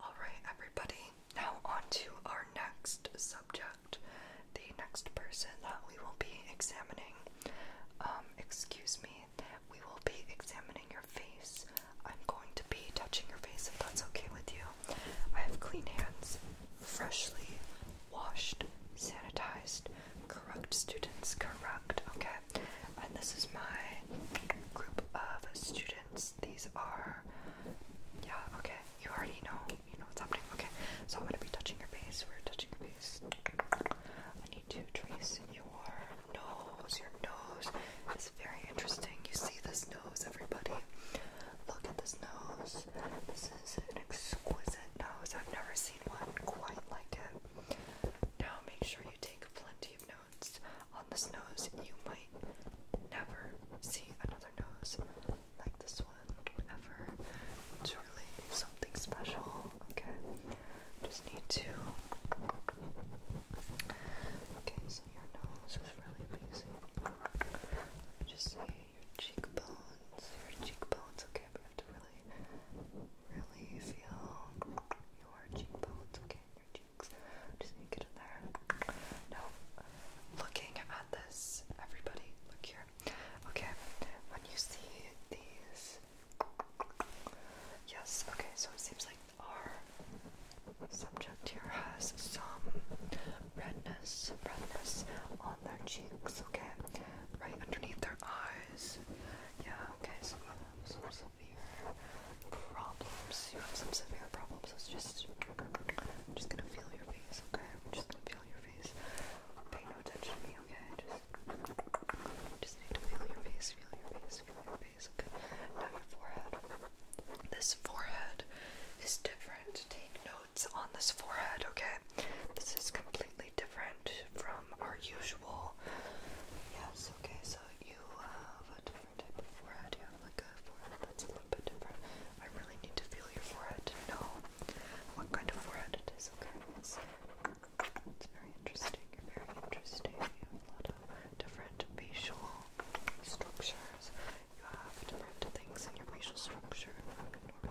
Alright, everybody, now on to our next subject. The next person that we will be examining. Um, excuse me, we will be examining your face. I'm going to be touching your face if that's okay with you. I have clean hands, freshly washed, sanitized. Correct, students, correct, okay? and this is my group of students. These are, yeah, okay. You already know, you know what's happening. Okay, so I'm gonna be touching your face. We're touching your face. I need to trace your nose. Your nose This is very interesting. You see this nose, everybody. Look at this nose. This is an exquisite nose. I've never seen one quite like it. Now make sure you take plenty of notes on this nose. You might never see another nose like this one ever. It's really something special, okay? Just need to. Okay, so your nose is really amazing. just see your cheekbones. Your cheekbones, okay, we have to really, feel your cheekbones, okay, your cheeks. Just get in there. No, looking at this, everybody, look here. Okay, when you see these, yes, okay, so it seems like our subject here has some redness, redness on their cheeks, okay? right underneath their eyes. Yeah, okay, so you have some severe problems. You have some severe problems. It's just, I'm just gonna feel your face, okay? I'm just gonna feel your face. Pay no attention to me, okay? Just, just need to feel your face, feel your face, feel your face, okay? Now your forehead. This forehead is different. Take note. It's on this forehead, okay? This is completely different from our usual. Yes, okay, so you have a different type of forehead. You have like a forehead that's a little bit different. I really need to feel your forehead to know what kind of forehead it is, okay? It's, it's very interesting. very interesting. You have a lot of different facial structures. You have different things in your facial structure.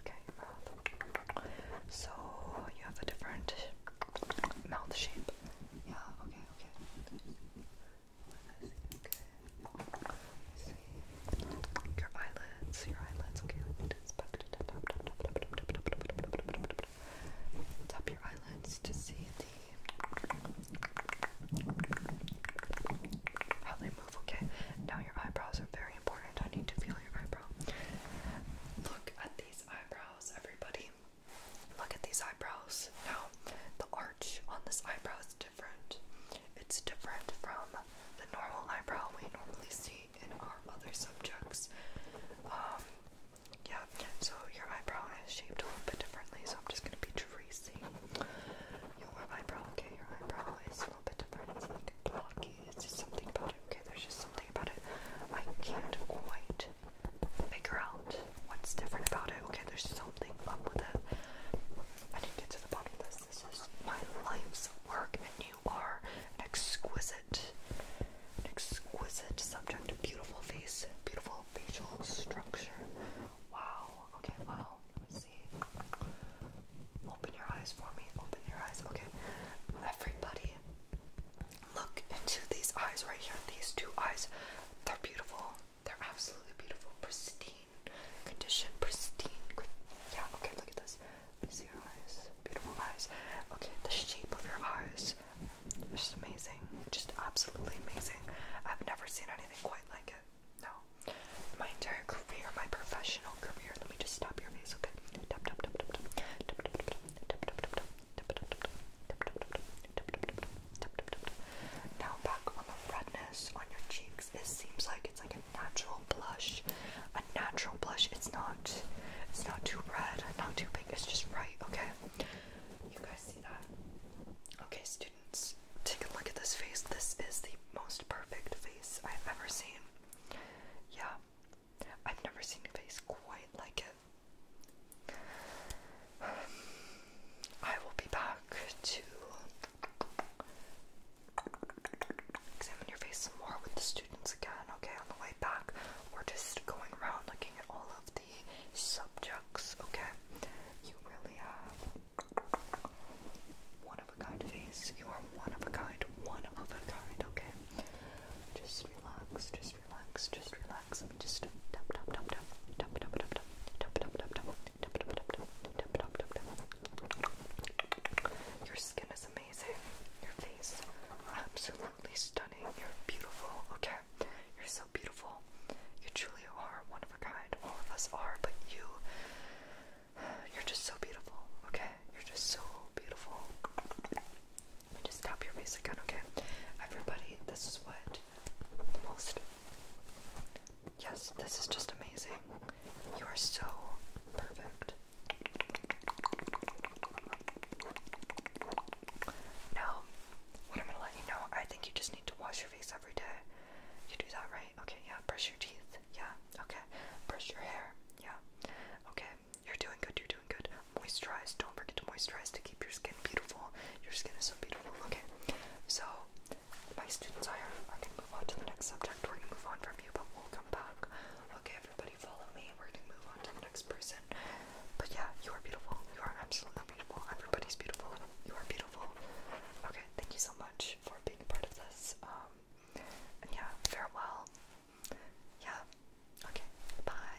okay? So you have a different mouth shape. Yeah, okay, okay. Okay. See. Your eyelids, your eyelids, okay, let me just back to top, top, top, top, top, top, top, top, top, top, top, top. Tap your eyelids to see the how they move, okay? Now your eyebrows are very important. I need to feel your eyebrow. Look at these eyebrows, everybody. Look at these eyebrows. Now, the arch on this eyebrow is different. It's different from the normal eyebrow we normally see in our other subjects. Um, yeah, so your eyebrow is shaped a little bit differently, so I'm just gonna be tracing your eyebrow. Okay, your eyebrow is little bit different. It's like blocky. It's just something about it. Okay, there's just something about it. I can't quite figure out what's different about it. Okay, there's something up with it. I need to get to the bottom of this. This is my life's work, and you are an exquisite, an exquisite subject. Beautiful face, beautiful facial structure. Wow. Okay. Wow. Open your eyes for me. Open your eyes. Okay. Everybody, look into these eyes right here. These two eyes. They're beautiful. They're absolutely beautiful. Pristine condition. Pristine. Yeah, okay, look at this. See your eyes. Beautiful eyes. Okay, the shape of your eyes. It's just amazing. Just absolutely amazing. I've never seen anything quite like it. No. My entire career, my professional career. Let me just stop your face, okay? Tap tap tap tap tap. Now back on the redness on your cheeks. This seems like it's like a natural blush. A natural blush. It's not it's not too red, not too pink, it's just right, okay? You guys see that? Okay, so do students, take a look at this face. This is the most perfect face I've ever seen. Yeah, I've never seen a face quite like it. I will be back to examine your face some more with the students again, okay? On the way back, we're just going around looking at all of the subjects, okay? You really have one of a kind face. You are one of a kind. One of a kind, okay? Just relax, just relax, just relax. just tap tap tap tap tap tap tap tap tap tap tap tap tap tap tap tap tap Your skin is amazing. Your face absolutely stunning. You're beautiful, okay? You're so beautiful. You truly are one of a kind. All of us are, but you you're just so beautiful, okay? You're just so beautiful. just tap your face again, okay? Everybody, this is what most Yes, this is just amazing. You are so perfect. Now, what I'm gonna let you know, I think you just need to wash your face every day. You do that, right? Okay, yeah. Brush your teeth. Yeah. Okay. Brush your hair. Yeah. Okay. You're doing good. You're doing good. Moisturize. Don't forget to moisturize to keep your skin beautiful. Your skin is so beautiful. Okay. So, my students are, are move on to the next subject. We're going to move on from you, but we'll come back. Okay, everybody, follow me. We're going to move on to the next person. But yeah, you are beautiful. You are absolutely beautiful. Everybody's beautiful. You are beautiful. Okay, thank you so much for being a part of this. Um, yeah, farewell. Yeah. Okay. Bye.